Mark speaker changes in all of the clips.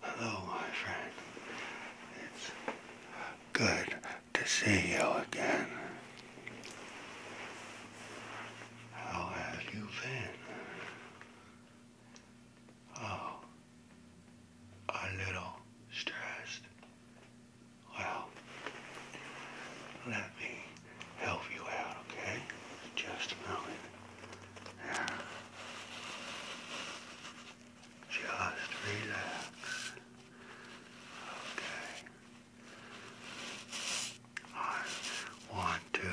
Speaker 1: Hello, my friend. It's good to see you again. How have you been? Oh, a little stressed. Well, let me help you out, okay? Just a moment. Just relax. Okay. I want to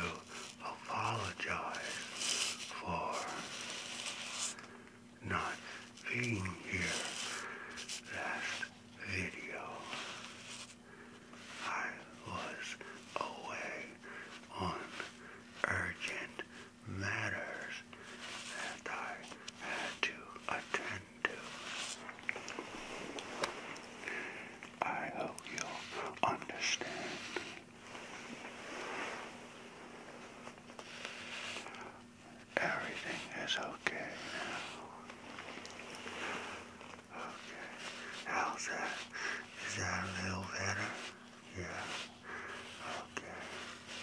Speaker 1: apologize for not being here last video. I was away on urgent matters that I had to attend to. I hope you'll understand. Everything is okay now. Okay. How's that? Is that a little better? Yeah. Okay.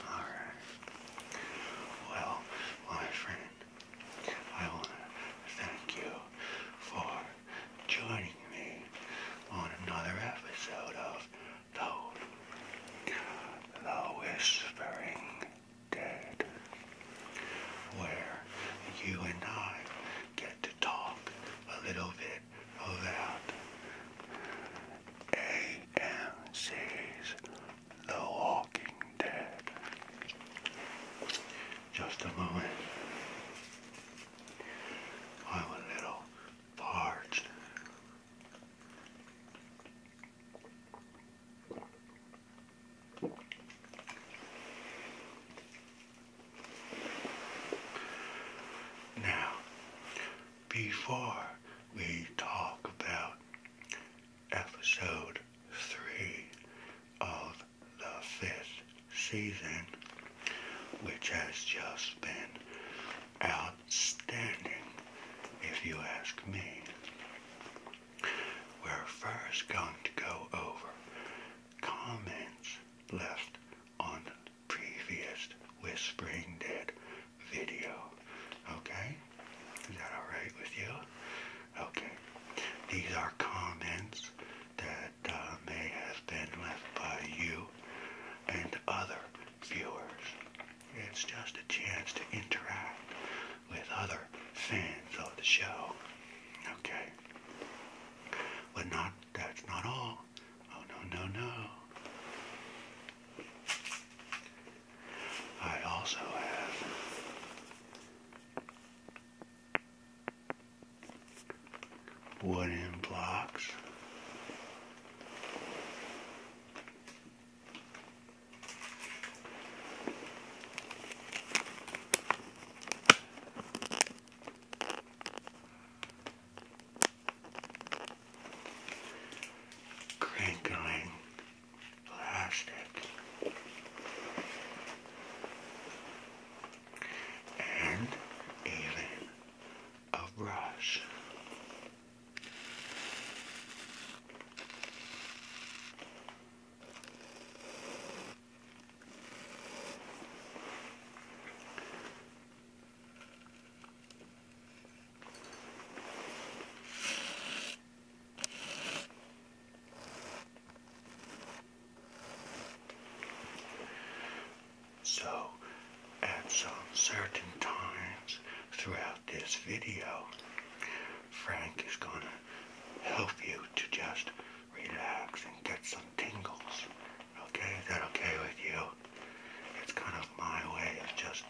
Speaker 1: Alright. Well, my friend, I want to thank you for joining me on another episode of The, the Whispering Dead, where you and I get to talk a little bit that. AMC's The Walking Dead. Just a moment. I'm a little parched. Now, before we talk about episode three of the fifth season, which has just been outstanding, if you ask me. We're first going to go over comments left on previous Whispering Dead video. Okay? Is that alright with you? Okay. These are comments that uh, may have been left by you and other viewers. It's just a chance to interact with other fans of the show. Okay? But not, that's not all. Oh no, no, no. I also have wooden blocks crinkling plastic and a brush. So, at some certain times throughout this video, Frank is going to help you to just relax and get some tingles. Okay, is that okay with you? It's kind of my way of just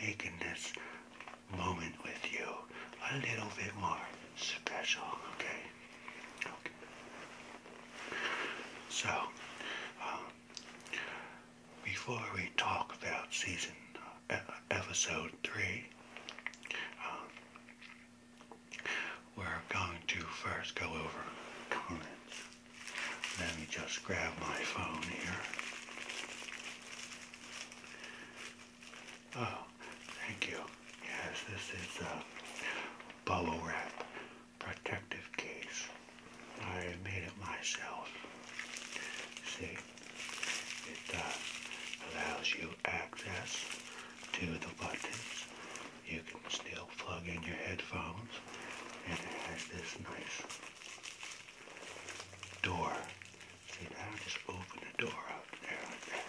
Speaker 1: making this moment with you a little bit more special, okay? Okay. So, um, before we talk about season uh, episode three, um, we're going to first go over comments. Let me just grab my phone here. Oh, thank you. Yes, this is a bubble wrap protective case. I made it myself. See, it uh, allows you access to the buttons. You can still plug in your headphones and it has this nice door. See, now I just open the door up there like that.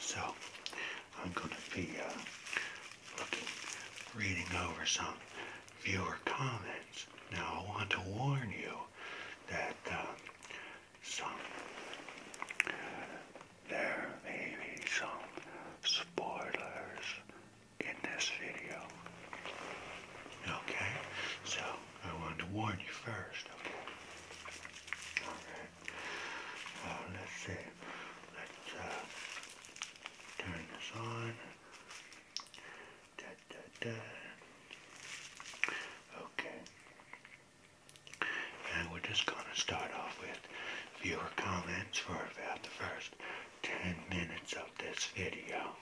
Speaker 1: So, I'm going to be uh, looking, reading over some viewer comments. Now, I want to warn you that uh, some there may be some spoilers in this video. Okay, so I wanted to warn you first. Okay. All right. Uh, let's see. Let's uh, turn this on. Okay. And we're just gonna start off with viewer comments for about the first 10 minutes of this video.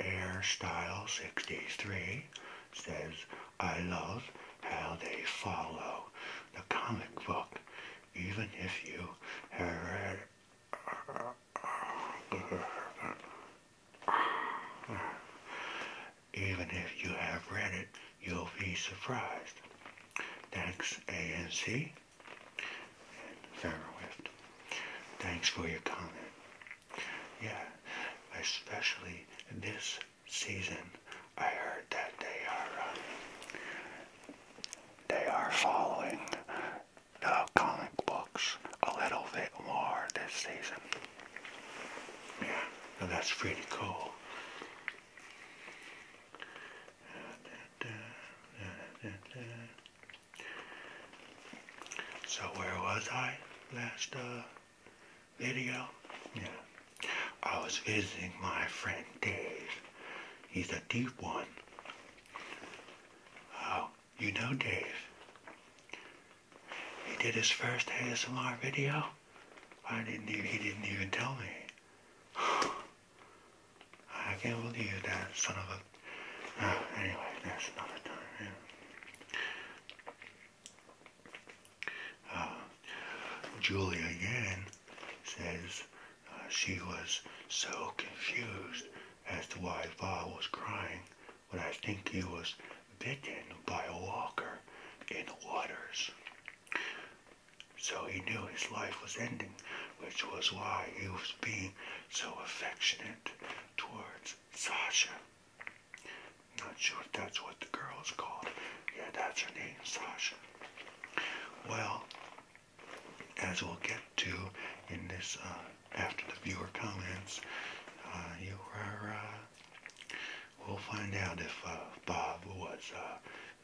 Speaker 1: Airstyle 63 says, I love how they follow the comic book, even if you have read even if you have read it, you'll be surprised. Thanks, ANC and Farrowift. Thanks for your comment. Yeah, especially this season, I heard that they are uh, they are following the comic books a little bit more this season. Yeah, that's pretty cool. So where was I last uh, video? Yeah, I was visiting my friend Dave. He's a deep one. Oh, you know Dave. He did his first ASMR video. I didn't even, he didn't even tell me. I can't believe that son of a... Uh, anyway, that's another time. Yeah. Uh, again says uh, she was so confused as to why Va was crying, but I think he was bitten by a walker in the waters. So he knew his life was ending, which was why he was being so affectionate towards Sasha. Not sure if that's what the girl is called. Yeah, that's her name, Sasha. Well, as we'll get to in this, uh, after the viewer comments, uh, you were, uh, we'll find out if uh, Bob was uh,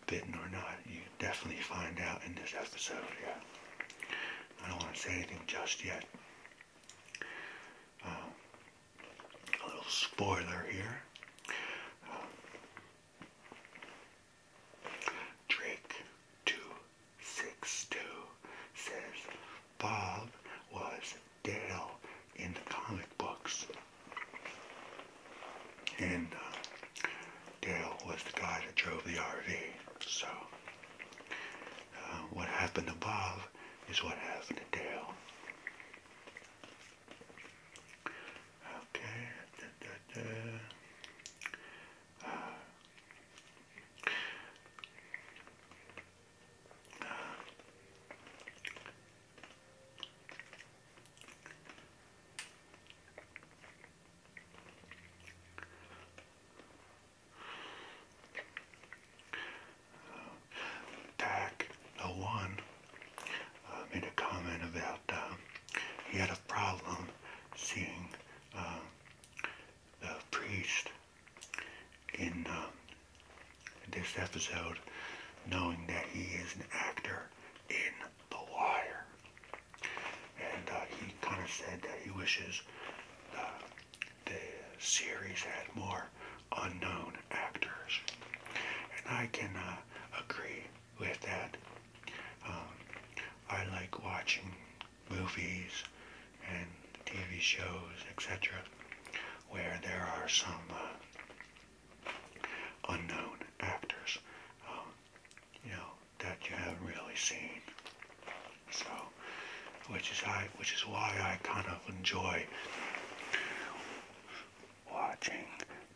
Speaker 1: bitten or not. You definitely find out in this episode, I don't want to say anything just yet. Um, a little spoiler here. Drake262 says Bob was Dale in the comic books. And uh, Dale was the guy that drove the RV. So uh, what happened to Bob is what happened to Dale. Okay. Uh, Tack the one uh, made a comment about uh, he had a problem seeing uh, the priest in um, this episode, knowing that he is an actor in The Wire. And uh, he kind of said that he wishes uh, the series had more unknown actors. And I can uh, agree with that. Um, I like watching movies and TV shows, etc., where there are some uh, unknown actors, um, you know, that you haven't really seen. So, which is I, which is why I kind of enjoy watching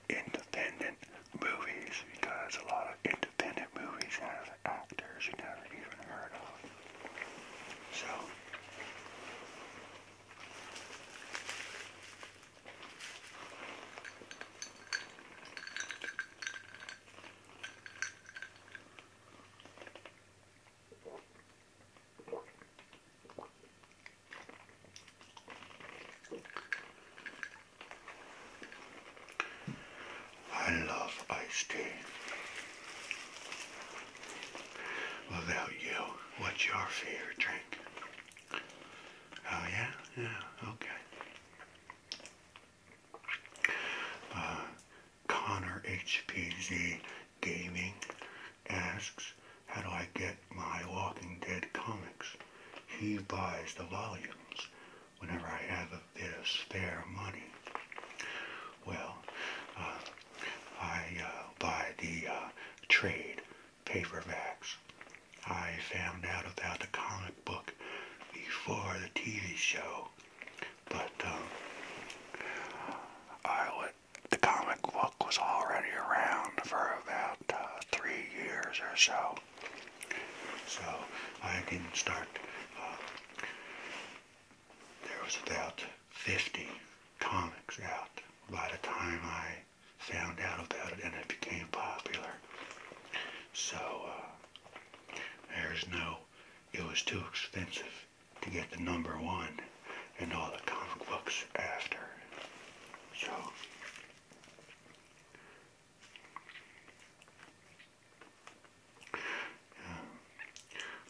Speaker 1: independent movies because a lot of independent movies have actors you never even heard of. So, I love iced tea without you. What's your fear drink? Oh yeah? Yeah, okay. Uh, Connor HPZ Gaming asks, how do I get my Walking Dead comics? He buys the volumes whenever I have a spare money. Well, uh, I uh, buy the uh, trade paperbacks. I found out about the comic book before the TV show, but um, I the comic book was already around for about three years or so. So I did start there was about 50 comics out by the time I found out about it and it became popular. So uh, there's no, it was too expensive to get the number one and all the comic books after. So.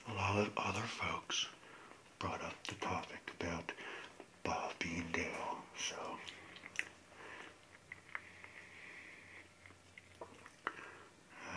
Speaker 1: a lot of other folks brought up the topic about Bobby and Dale. So. Uh,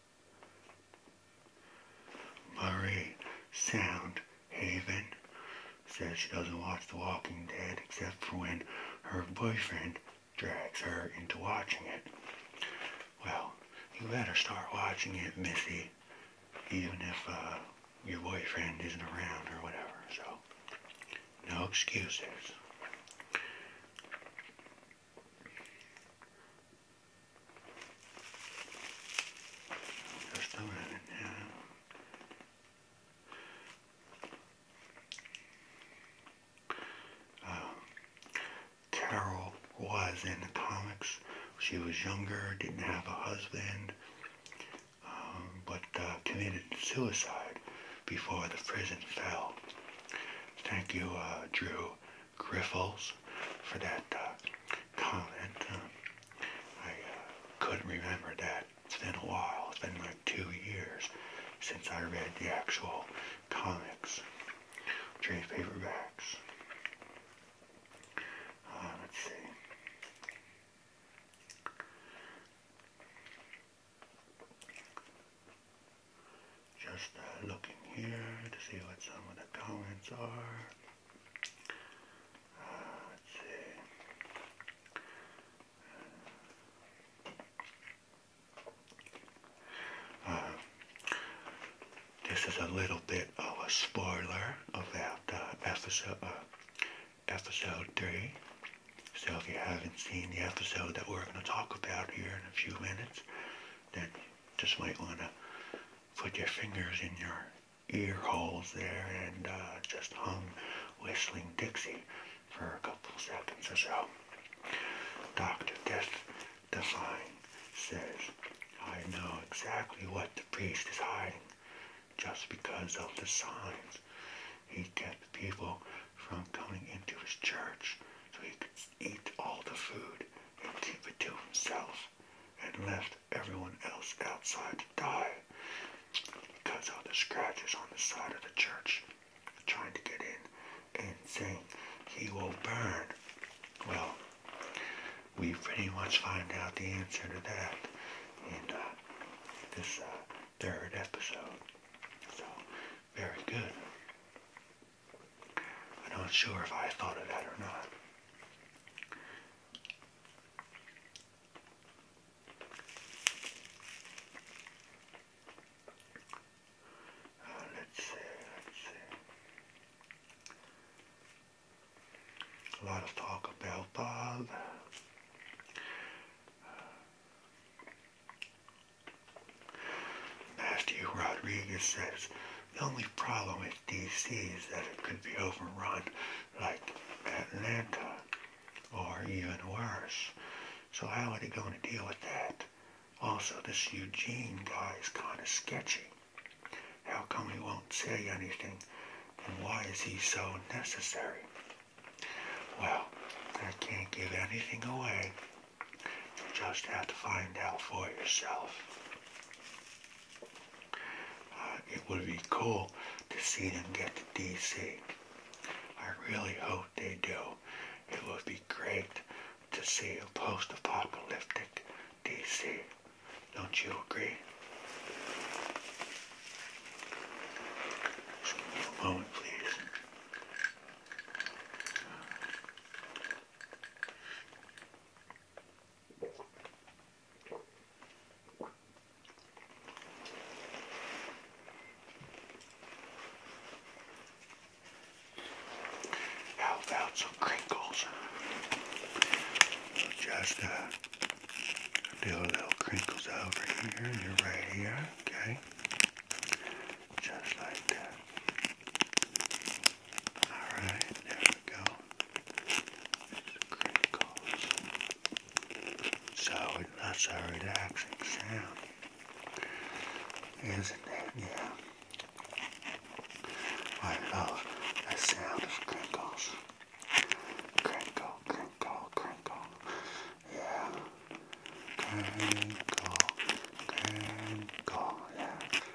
Speaker 1: Murray Sound Haven says she doesn't watch The Walking Dead except for when her boyfriend drags her into watching it. Well, you better start watching it, Missy, even if uh, your boyfriend isn't around or whatever. So, no excuses. Um, Carol was in the comics. She was younger, didn't have a husband, um, but uh, committed suicide before the prison fell. Thank you, uh, Drew, Griffles for that uh, comment. Uh, I uh, couldn't remember that. It's been a while. It's been like two years since I read the actual comics, trade paperbacks. Uh, let's see. Just uh, looking here to see what some of the comments are. Uh, let's see. Uh, this is a little bit of a spoiler of that episode, episode 3. So if you haven't seen the episode that we're going to talk about here in a few minutes, then just might want to put your fingers in your ear holes there and uh, just hung Whistling Dixie for a couple seconds or so. Dr. Death Define says, I know exactly what the priest is hiding just because of the signs. He kept people from coming into his church so he could eat all the food and keep it to himself and left everyone else outside to die because of the scratches on the side of the church trying to get in and saying he will burn. Well, we pretty much find out the answer to that in uh, this uh, third episode. So, very good. I'm not sure if I thought of that or not. Uh, let's see, let's see. A lot of talk about Bob. Uh, Matthew Rodriguez says, the only problem with D.C. is that it could be overrun like Atlanta or even worse. So how are they going to deal with that? Also, this Eugene guy is kind of sketchy. How come he won't say anything? And why is he so necessary? Well, I can't give anything away. You just have to find out for yourself. Uh, it would be cool to see them get to DC. I really hope they do. It would be great to see a post-apocalyptic DC. Don't you agree? a moment, please. How about some crinkles? Just uh, do a little crinkles over here and you're right here, okay? Just like that. Alright, there we go. crinkles. So that's our relaxing sound. Isn't it? Yeah. I love the sound of crinkles. Crinkle, crinkle, crinkle. Yeah. Crinkle, crinkle, yeah.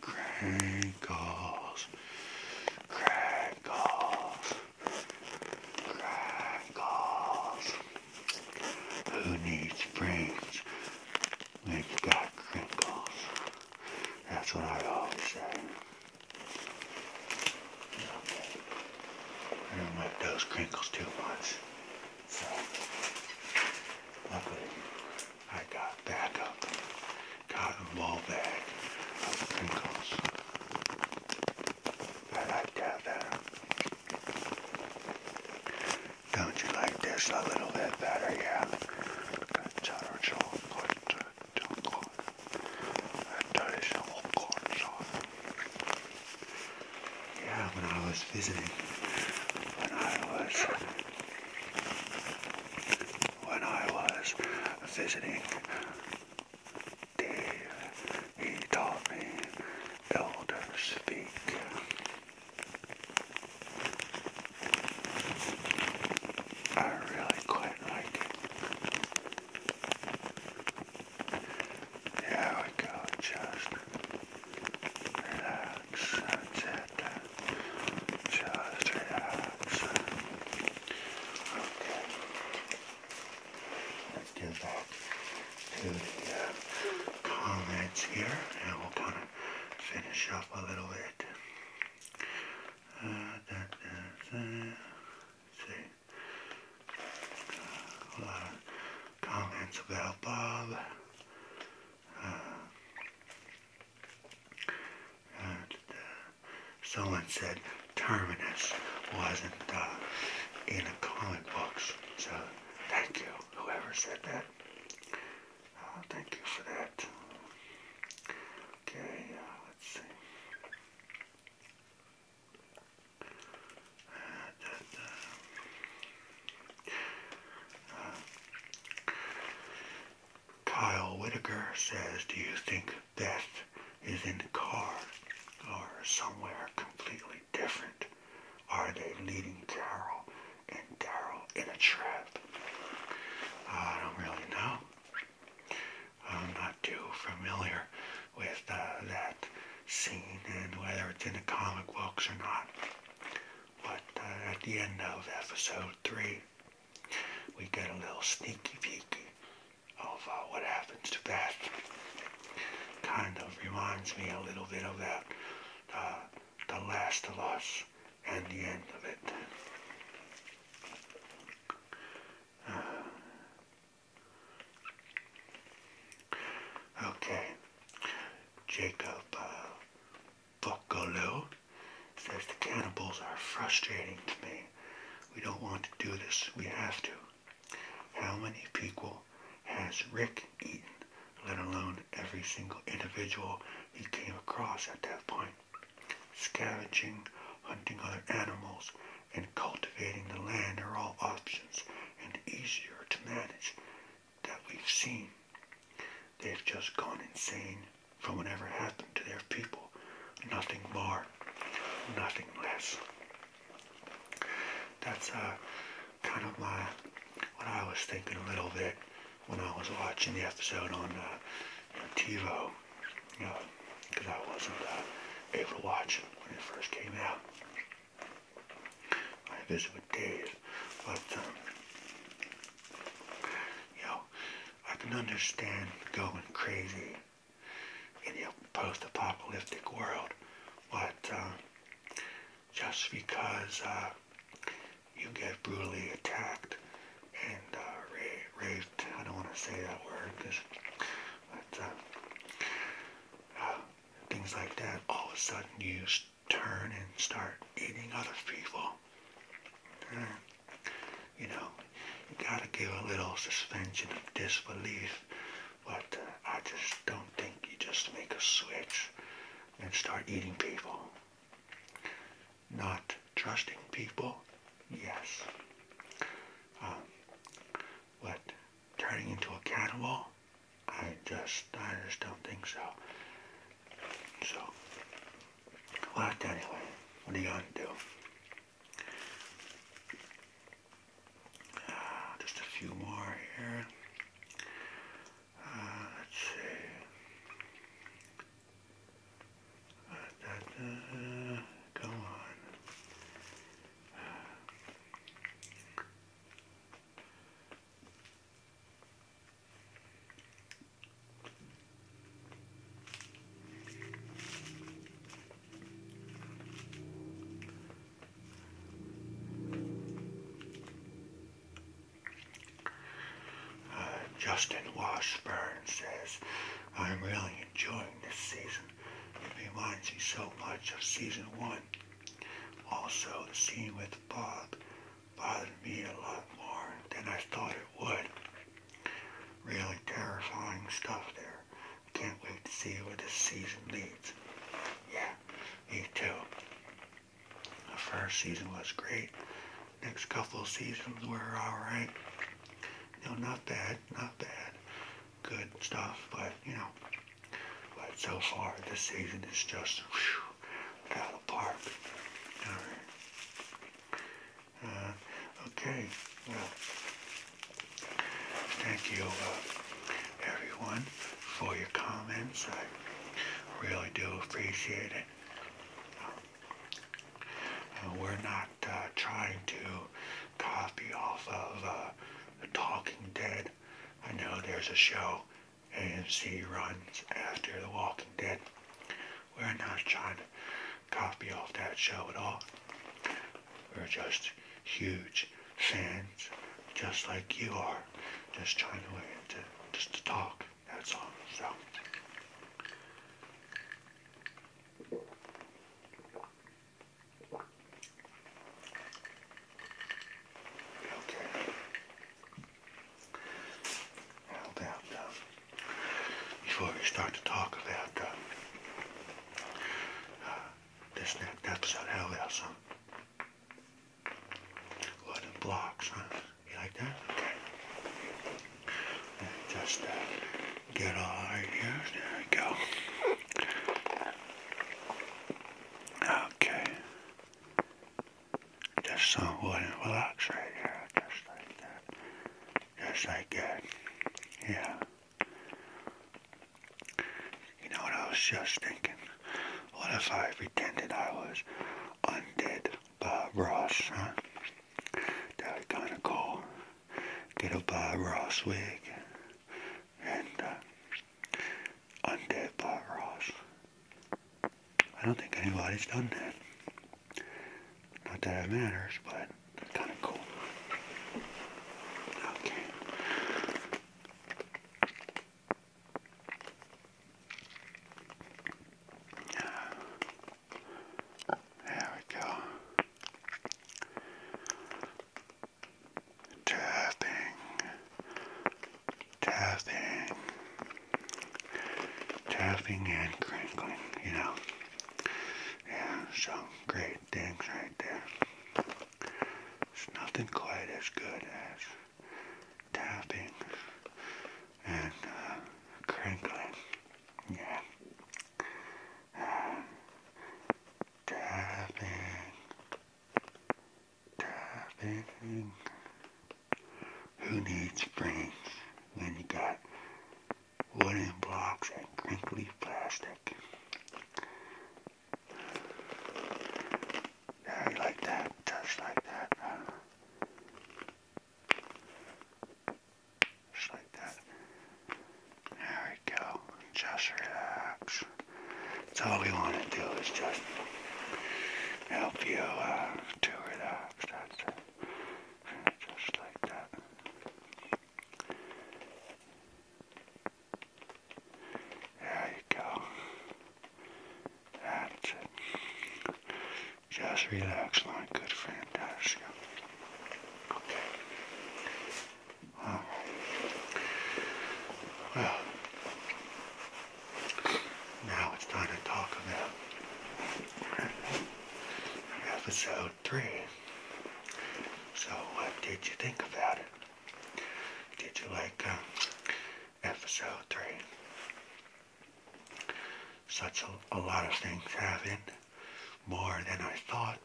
Speaker 1: Crinkles, crinkles, crinkles. Who needs springs when have got crinkles? That's what I always say. I don't like those crinkles too much. luckily, I got backup cotton ball bag crinkles. I like that Don't you like this a little bit better? Yeah. Good, yeah, when I was visiting, when I was, when I was visiting, he taught me elder speak. I really quite like here we go, just relax, that's it. Just relax. Okay. Let's get back to the uh, comments here, and we'll kind of finish up a little bit. Uh, see comments about Bob. Uh, uh, someone said Terminus wasn't uh, in the comic books. So thank you, whoever said that. thank you for that. Okay, let's see. Kyle Whittaker says, do you think Beth is in the car or somewhere completely different? Are they leading Carol and Daryl in a trap? I don't really know. I'm not too familiar with uh, that scene and whether it's in the comic books or not. But uh, at the end of episode 3, we get a little sneaky peek of uh, what happens to Beth. Kind of reminds me a little bit of that, The Last of Us and the end of it. Okay. Jacob uh, says the cannibals are frustrating to me. We don't want to do this. We have to. How many people has Rick eaten, let alone every single individual he came across at that point? Scavenging, hunting other animals, and cultivating the land are all options and easier to manage that we've seen. They've just gone insane from whatever happened to their people. Nothing more, nothing less. That's uh, kind of my what I was thinking a little bit when I was watching the episode on uh, TiVo. You because I wasn't able to watch it when it first came out. I visited with Dave, but um, you know, I can understand going crazy in the post-apocalyptic world, but uh, just because uh, you get brutally attacked and uh, raped, I don't want to say that word because uh, uh, things like that, all of a sudden you turn and start eating other people. Uh, you know, you gotta give a little suspension of disbelief, but I just don't think you just make a switch and start eating people. Not trusting people, yes. but turning into a cannibal? I just, I just don't think so. So, left anyway. What are you gonna do? Uh, just a few more here. Uh, let's see. Uh, on. Uh, Justin Washburn says, I'm really enjoying this season reminds me so much of season one. Also, the scene with Bob bothered me a lot more than I thought it would. Really terrifying stuff there. Can't wait to see where this season leads. Yeah, me too. The first season was great. Next couple of seasons were alright. No, not bad, not bad good stuff, but you know, but so far this season is just whew, out uh, okay. Well, thank you, uh, everyone, for your comments. I really do appreciate it. Uh, we're not trying to copy off of the Talking Dead. I know there's a show AMC runs after The Walking Dead. We're not trying to copy off that show at all. We're just huge fans, just like you are. Just trying to, to just to talk. That's all. So. Okay. Now that, uh, before we start to talk about uh, uh, this next episode, hell yeah, some wooden blocks, huh? You like that? Okay. just uh, get all right here. There we go. Okay. Just some wood and relax right here, just like that. Just like that. Yeah. You know what I was just thinking? What if I pretended I was undead Bob Ross, huh? That'd kinda cool. Get a Bob Ross wig and uh, Undead Bob Ross. I don't think anybody's done that. Not that it matters, but kind of cool. Okay. There we go. Testing. Testing. Testing and crinkling, you know. Yeah, some great things right there. It's nothing quite as good as tapping and uh, crinkling. Yeah. Tapping. Tapping. Who needs brains when you got wooden blocks and crinkly plastic? Yeah, like that, just like that. Just like that. There we go. Just relax. That's all we want to do is just help you uh, to That's it. Just like that. There you go. That's it. Just relax, my good friend. That's you. Okay. Well, now it's time to talk about episode three. So, what did you think about it? Did you like uh, episode three? Such a, lot of things happened, more than I thought.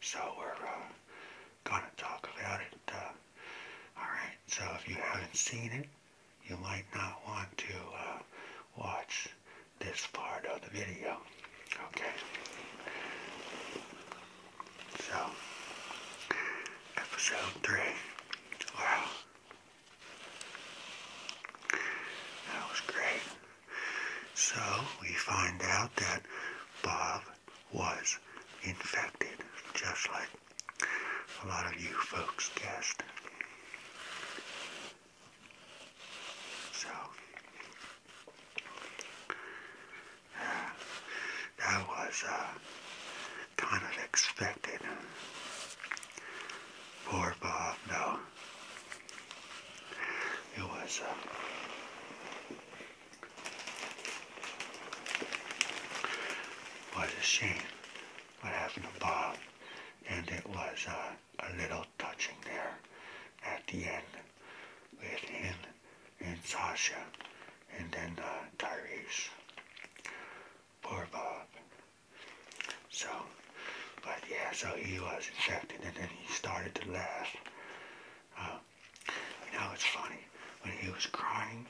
Speaker 1: So we're uh, gonna talk about it. Uh, Alright, so if you haven't seen it, you might not want to uh, watch this part of the video. Okay. So, episode 3. Wow. That was great. So, we find out that Bob was infected, just like a lot of you folks guessed. So, that was uh, kind of expected. Poor Bob, though. No. It was. Uh, was a scene what happened to Bob, and it was uh, a little touching there at the end with him and Sasha, and then uh, Tyrese. Poor Bob. So, but yeah, so he was infected, and then he started to laugh. Um, now it's funny, when he was crying,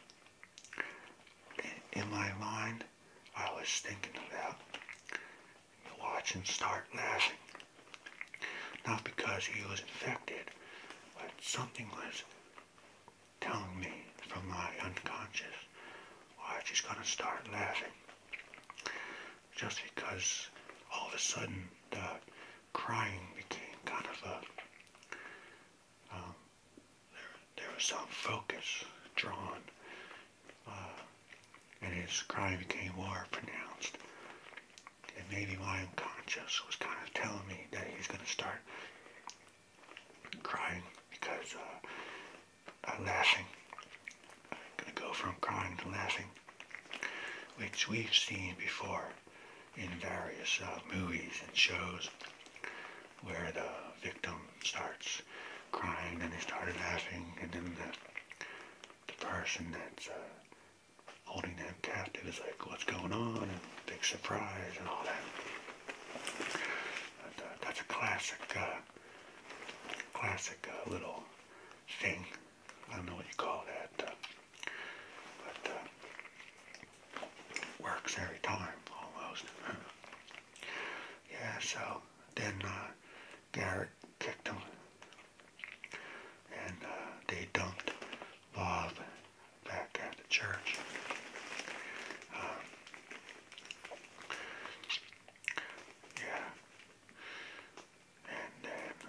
Speaker 1: in my mind, I was thinking about watch him start laughing. Not because he was infected, but something was telling me from my unconscious, why she's gonna start laughing. Just because all of a sudden the crying became kind of a, um, there, was some focus drawn, uh, and his crying became more pronounced. And maybe my unconscious was kind of telling me that he's going to start crying because uh, laughing. I'm going to go from crying to laughing, which we've seen before in various uh, movies and shows where the victim starts crying, then they started laughing, and then the, the person that's uh, holding them captive is like, what's going on, and big surprise and all that. But, uh, that's a classic, uh, classic uh, little thing I don't know what you call that, uh, but uh, works every time almost. yeah, so then uh, Garrett kicked him, and uh, they dumped Bob back at the church. Um, yeah, and then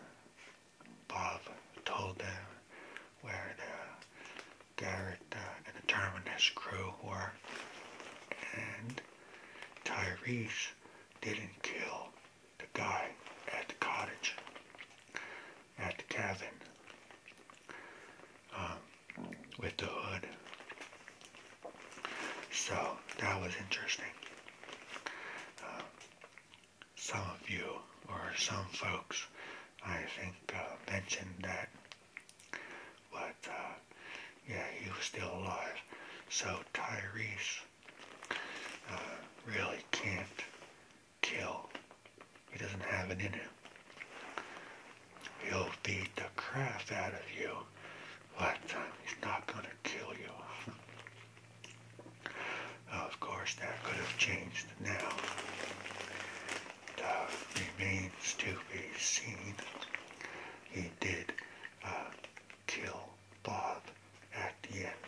Speaker 1: Bob told them where the Garrett uh, and the Terminus crew were. And Tyrese didn't kill the guy at the cottage, at the cabin, um, with the hood. So that was interesting. Uh, some of you or some folks, I think, uh, mentioned that. But uh, yeah, he was still alive. So Tyrese uh, really can't kill. He doesn't have it in him. He'll beat the crap out of you, but he's not going to kill you. Of course, that could have changed now. Uh, remains to be seen. He did uh, kill Bob at the end.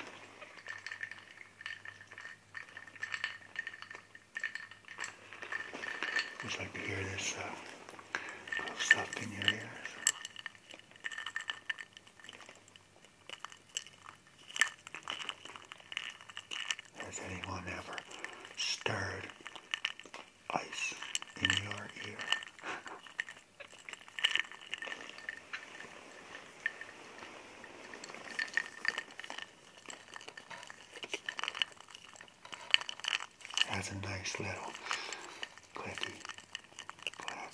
Speaker 1: Just like to hear this uh, stuff in your ears. Has anyone ever stirred ice in your ear? That's a nice little clicky clack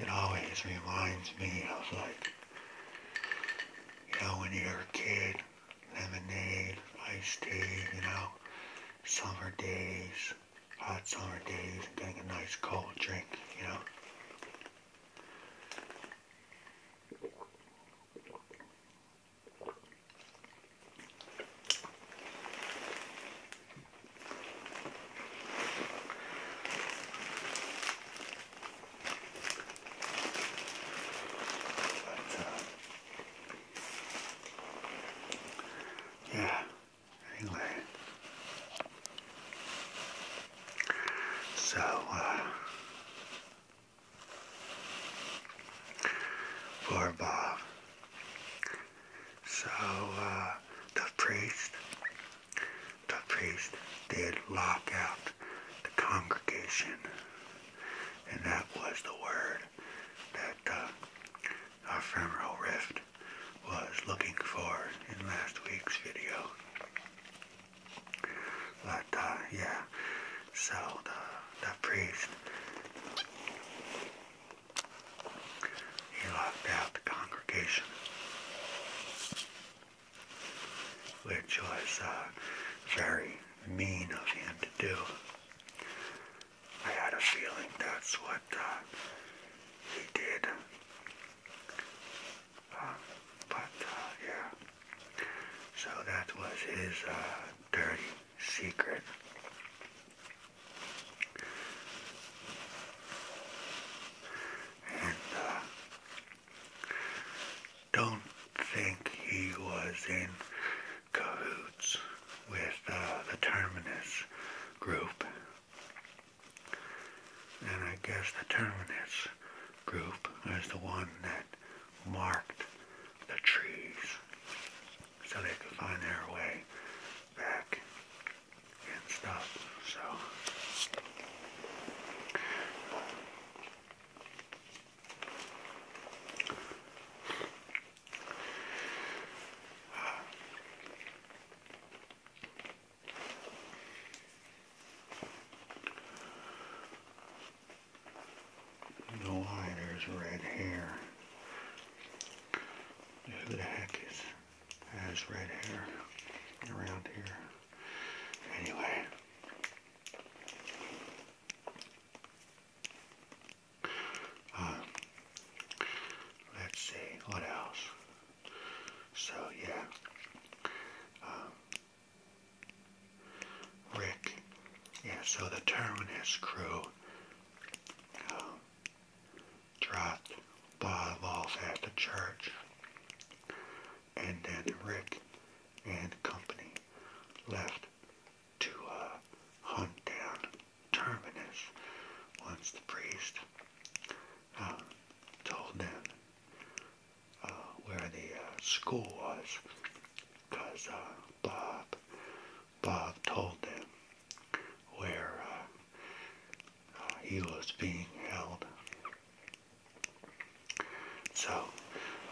Speaker 1: it always reminds me of like, you know, when you're a kid, lemonade, iced tea, you know, summer days, hot summer days, and getting a nice cold drink, you know. But, uh, yeah, anyway. So, uh, for Bob. So uh, the priest, the priest did lock out the congregation, and that was the word that ephemeral uh, rift was looking for in last week's video. But uh, yeah, so the, priest, he locked out the congregation, which was uh, very mean of him to do. I had a feeling that's what uh, he did. Uh, but, uh, yeah. So that was his uh, dirty secret. Uh, don't think he was in cahoots with uh, the Terminus group. And I guess the Terminus group was the one that marked the trees so they could find their way back and stuff. So. No why there's red hair. Who the heck is has red hair around here? Anyway. Uh, let's see, what else? So yeah. Um, Rick. Yeah, so the Terminus crew um, dropped Bob off at the church. And then Rick and company left to uh, hunt down Terminus once the priest uh, told them uh, where the school was because uh, Bob Bob told them where uh, uh, he was being held. So,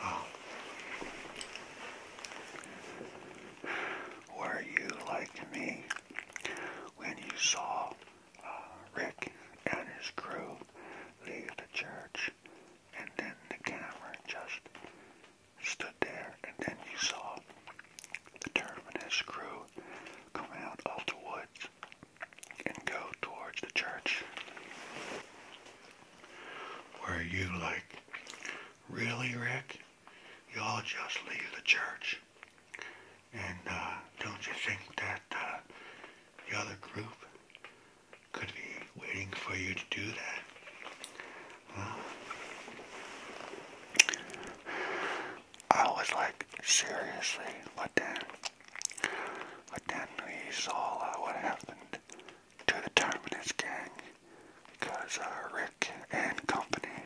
Speaker 1: um, were you like me when you saw Rick and his crew leave the church and then the camera just stood there, and then you saw the Terminus crew come out of the woods and go towards the church. Were you like, really, Rick? Y'all just leave the church? And uh, don't you think that uh, the other group could be waiting for you to do that? I was like, seriously, but then, but then we saw what happened to the Terminus gang because uh, Rick and company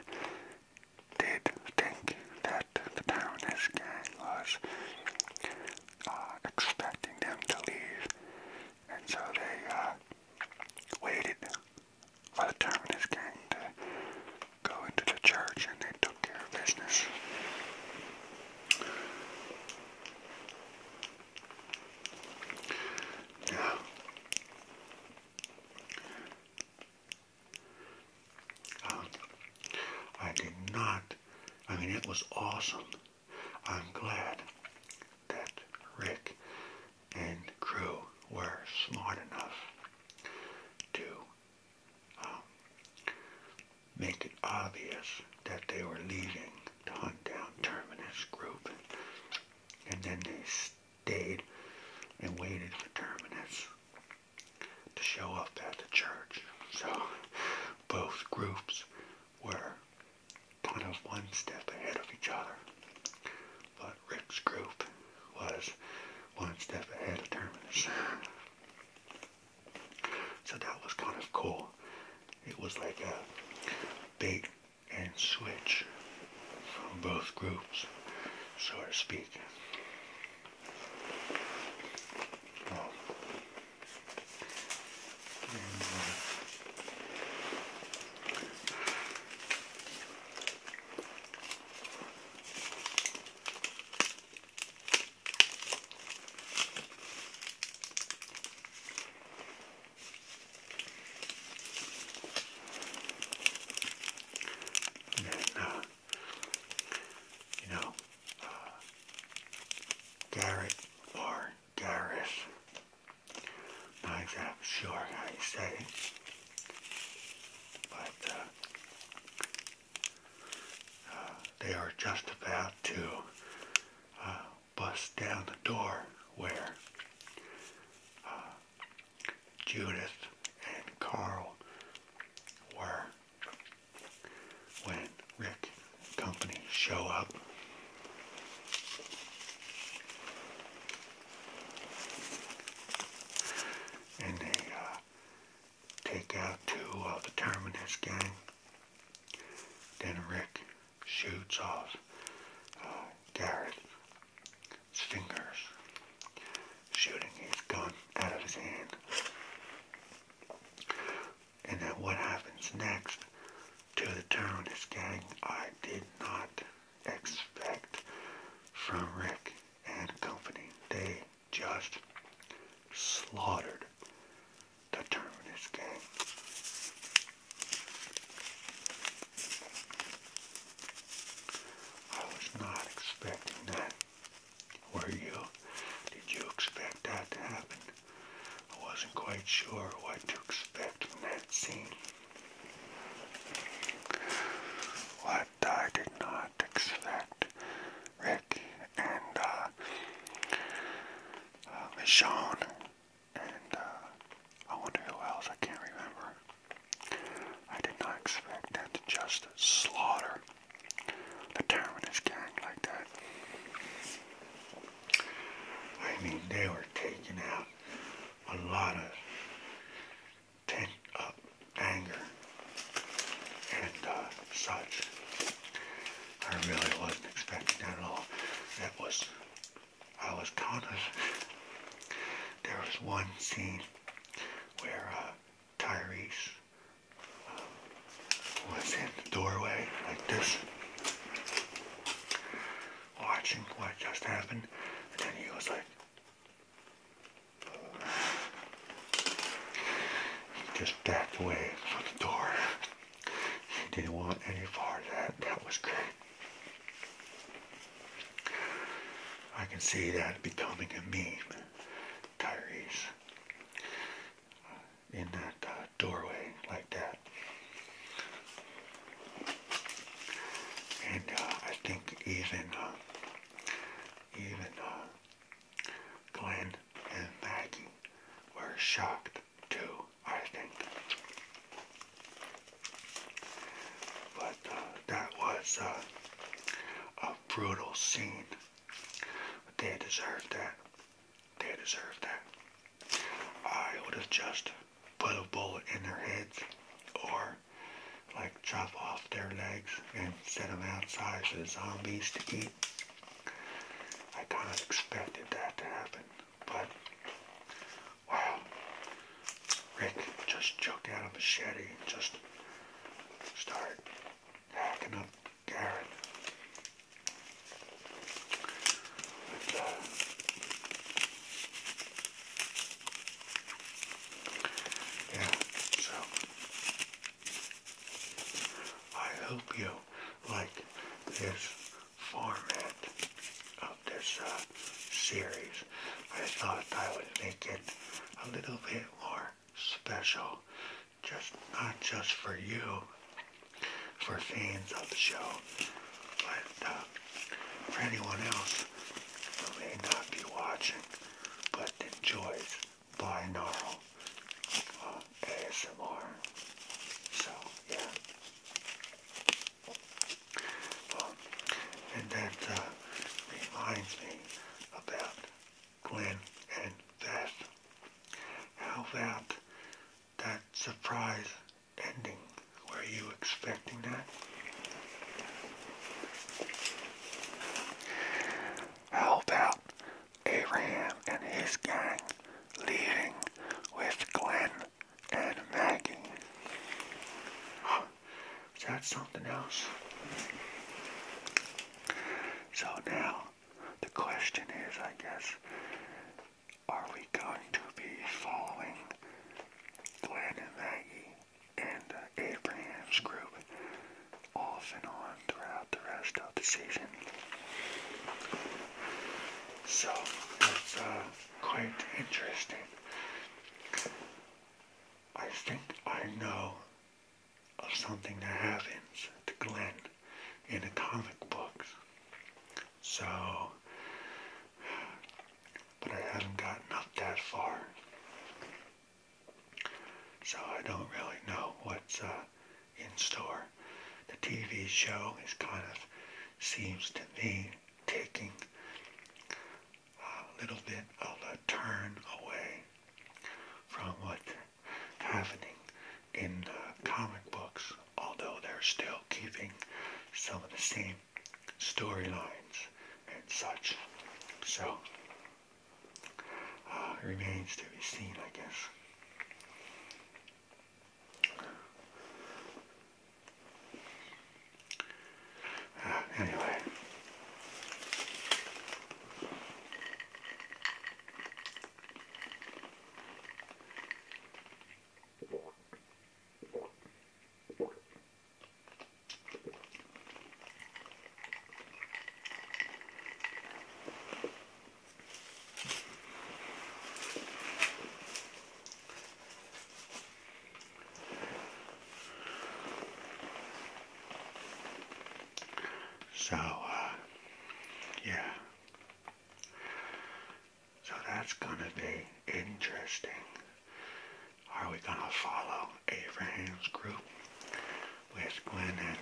Speaker 1: did think that the Terminus gang was uh, expecting them to leave, and so they uh, waited by the time of to go into the church and they took care of business. Now, um, I did not, I mean, it was awesome. I'm glad that Rick and crew were smart enough to um, make it obvious that they were leaving to hunt down Terminus Group. And then they stayed and waited for Terminus to show up at the church. So both groups were kind of one step ahead of each other. But Rick's group was one step ahead of Terminus. So that was kind of cool. It was like a bait and switch from both groups, so to speak. Uh, and you know, uh, Garrett or Garris not exactly sure how you say it, but uh, uh, they are just about to uh, bust down the door where Judith and Carl were when Rick and company show up and they uh, take out two of the Terminus gang. Then Rick shoots off uh, Garrett fingers, shooting his gun out of his hand. And then what happens next to the Terminus gang, I did not expect from Rick and company. They just slaughtered the Terminus gang. I was not expecting that. Were you? Did you expect that to happen? I wasn't quite sure what to expect in that scene. What I did not expect, Rick and uh, uh, Michonne, and uh, I wonder who else, I can't remember. I did not expect them to just slaughter the Terminus gang like that. I mean, they were taken out a lot of pent up anger and uh, such. I really wasn't expecting that at all. That was, I was kind of, there was one scene where uh, Tyrese uh, was in the doorway like this watching what just happened, and then he was like, he just backed away from the door. He didn't want any part of that. That was great. I can see that becoming a meme, Tyrese, in that uh, doorway like that and uh, I think even uh, even uh, Glenn and Maggie were shocked too. I think, but uh, that was uh, a brutal scene. But they deserved that. They deserved that. I would have just put a bullet in their heads or like chop off their legs and set them outside for the zombies to eat. I kind of expected that to happen, but wow, Rick just choked out a machete and just started hacking up Garrett. Uh, yeah, so I hope you like this format of this uh, series. I thought I would make it a little bit more special, just not just for you, for fans of the show, but uh, for anyone else who may not be watching but enjoys binaural uh, ASMR. So, yeah. and that uh, reminds me about Glenn and Beth. How about that surprise ending were you expecting that? How about Abraham and his gang leaving with Glenn and Maggie? Is that something else? So now, the question is, I guess, are we going to be following Glenn and Maggie and uh, Abraham's group off and on throughout the rest of the season. So it's uh, quite interesting. I think I know of something that happens to Glenn in the comic books. So but I haven't gotten up that far. So I don't really know what's uh, in store. The TV show is kind of, seems to me, taking a little bit of a turn away from what's happening in uh, comic books, although they're still keeping some of the same storylines and such. So, uh, remains to be seen, I guess. Uh, anyway. So, uh, yeah. So that's going to be interesting. Are we going to follow Abraham's group with Glenn and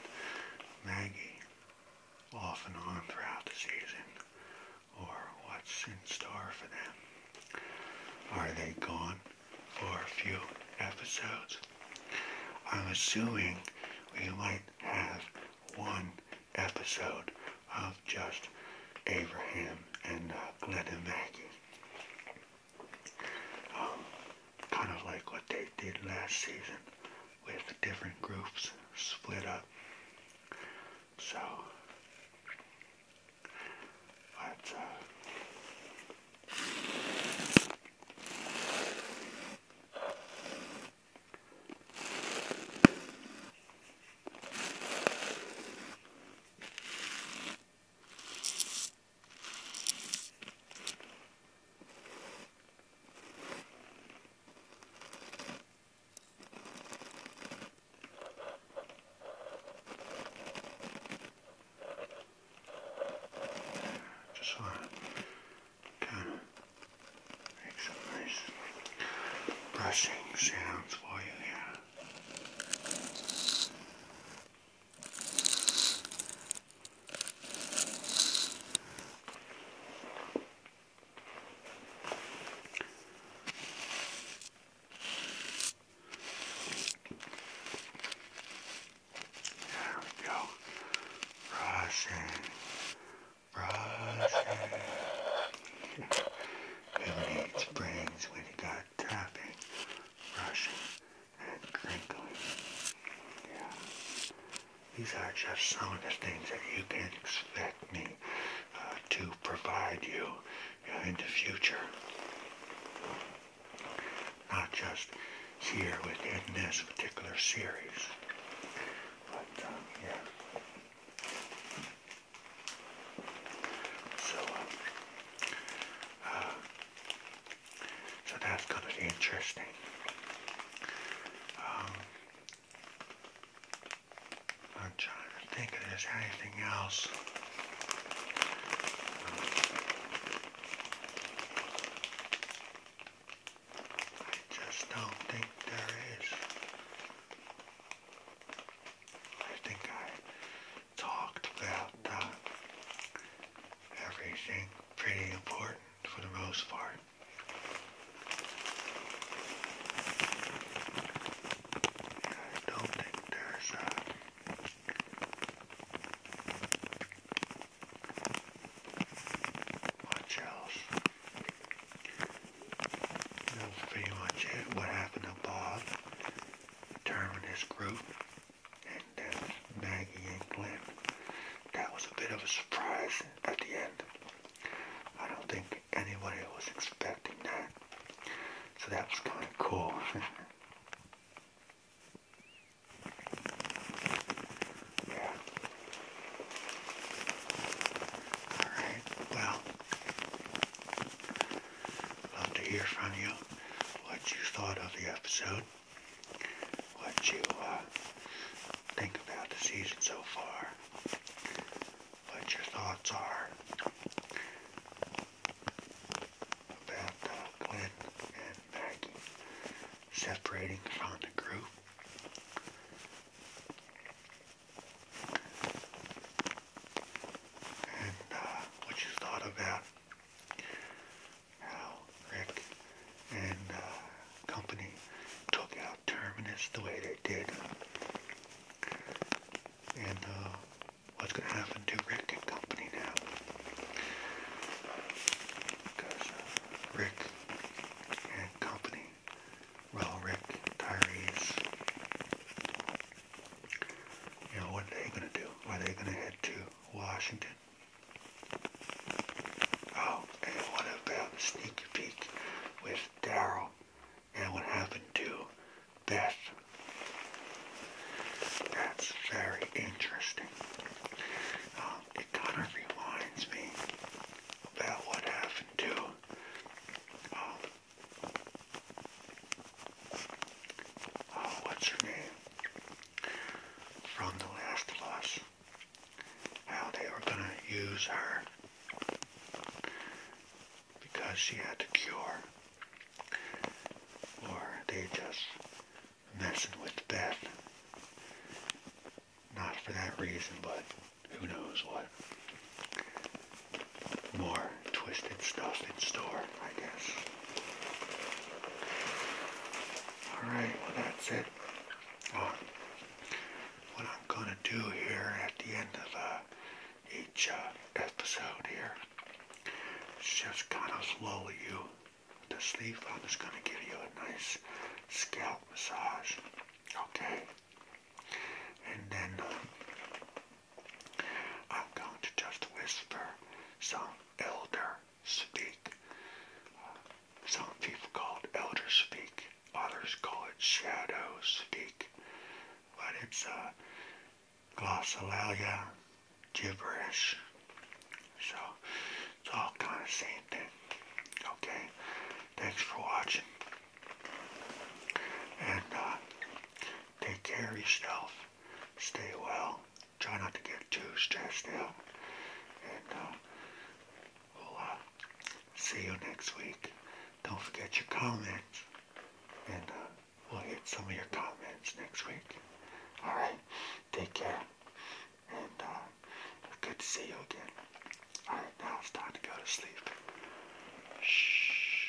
Speaker 1: Maggie off and on throughout the season? Or what's in store for them? Are they gone for a few episodes? I'm assuming we might have one episode of just Abraham and uh, Glenn and Maggie. Um, kind of like what they did last season with the different groups split up. So, but, uh, just want to kind of make some nice brushing sounds for you here. There we go. Brushing. Brushing. Who needs brains when you tapping, brushing, and crinkling. These are just some of the things that you can expect me uh, to provide you in the future. Not just here within this particular series. But, um, yeah. So, um, so that's going to be interesting. Um, I'm trying to think if there's anything else. I just don't think there is. I think I talked about uh, everything pretty important for the most part. I don't think there's uh, much else. That's pretty much it. What happened to Bob? Determine his group and Maggie and Glenn. That was a bit of a surprise at the end. I don't think anybody was expecting that. So that was kind of cool. yeah. Alright, well, Love to hear from you what you thought of the episode, what you uh, think about the season so far, what your thoughts are about uh, and Maggie separating from the group. And uh, what you thought about how Rick and uh, company took out Terminus the way they did. And uh, what's going to happen to Rick and company now? Because uh, Rick and company, well, Rick, Tyree's. You know, what are they going to do? Are they going to head to Washington? Oh, and what about Sneaky Peek with Daryl and what happened to Beth? That's very interesting. Um, it kind of reminds me about what happened to um, Oh, what's her name? From The Last of How they were going to use her because she had to cure. Or they just messing with Beth. Not for that reason, but who knows what. More twisted stuff in store, I guess. Alright, well that's it. what I'm gonna do here at the end of uh, each uh, episode here is just kind of lull you to sleep. I'm just gonna give you a nice scalp massage, okay? And then uh, I'm going to just whisper some elder speak. some people call it elder speak, others call it shadow speak, but it's uh, glossolalia gibberish. So it's all kind of same thing. Okay, thanks for watching. And uh, take care of yourself. Stay well try not to get too stressed out. And uh, we'll uh, see you next week. Don't forget your comments. And uh, we'll hit some of your comments next week. Alright, take care. And good to see you again. Alright, now it's time to go to sleep. Shh.